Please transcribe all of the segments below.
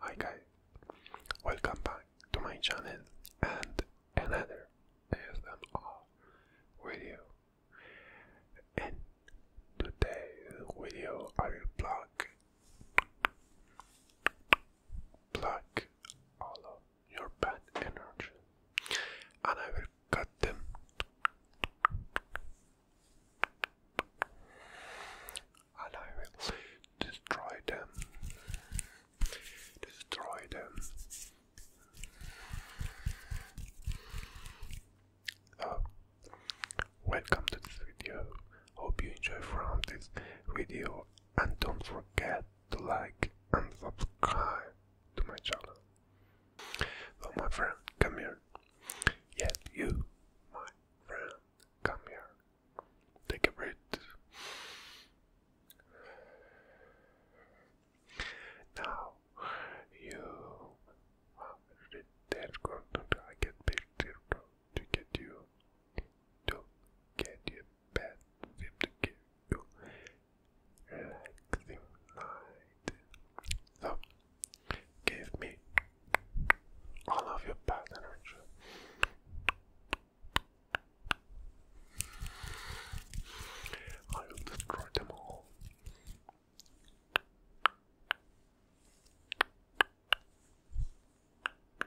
Hi guys, welcome back to my channel and another ASMR video. In today's video, I will block, block all of your bad energy and I will cut them and I will destroy them destroy them oh, welcome to this video hope you enjoy from this video and don't forget to like and subscribe to my channel. So my friend, come here. Yes, you, my friend, come here. Take a breath. Now you that's going to I get picture to get you to get your bed to get you relaxing night. So, oh, give me all of your bad energy. I will destroy them all.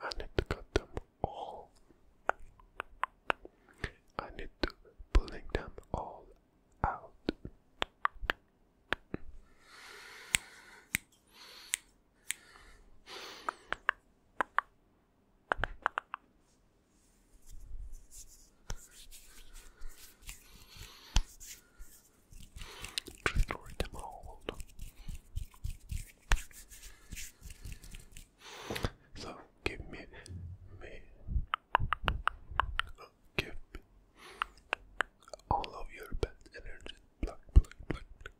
I need to cut them all. I need to pulling them all out. Destroy them all. So give me, me, give all of your bad energy.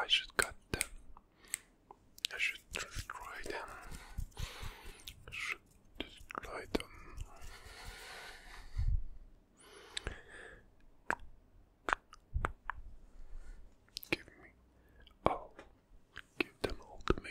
I should cut them. I should destroy them. should destroy them. Give me. Oh, give them all to me.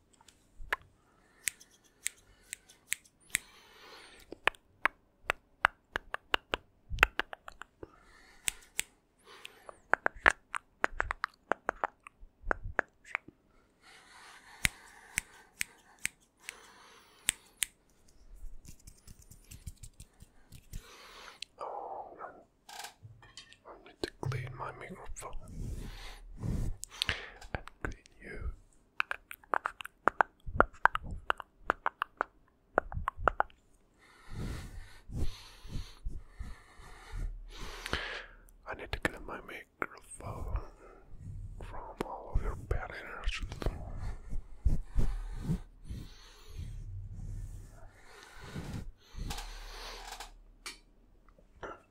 Oh, I need to clean my microphone I need to clean my microphone from all of your bad energy.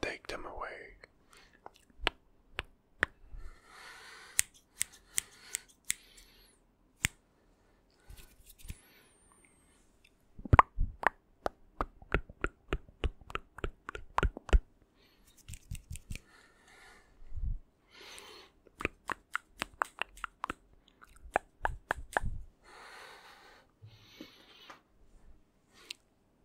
take them away.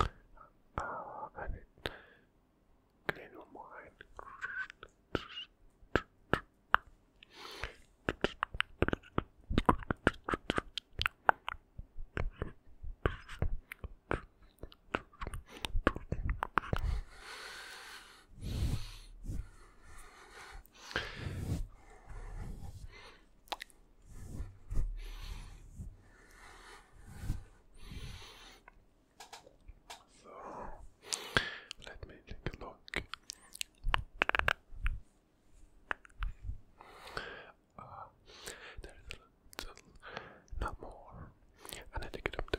Uh, and it clean your mind. So let me take a look. Uh, there is a not more, and I take it up to.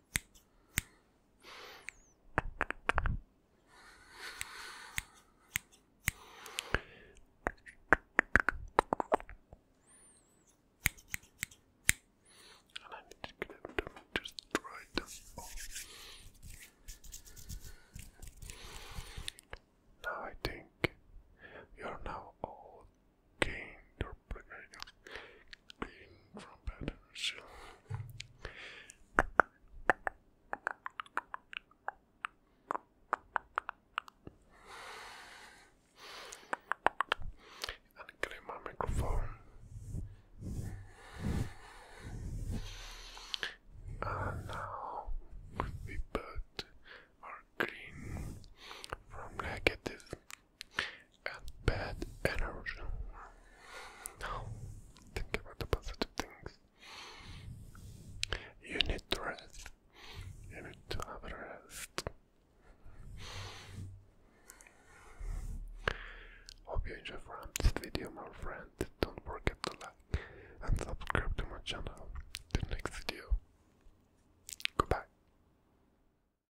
And I need to get them just right Now I think you're now all gained or pregnant clean trumpeters. And clean my microphone. And now we put our green from negative and bad energy. Now, think about the positive things. You need to rest. You need to have a rest. Hope you enjoy this video, my friend. Don't forget to like and subscribe to my channel. The next video. Goodbye.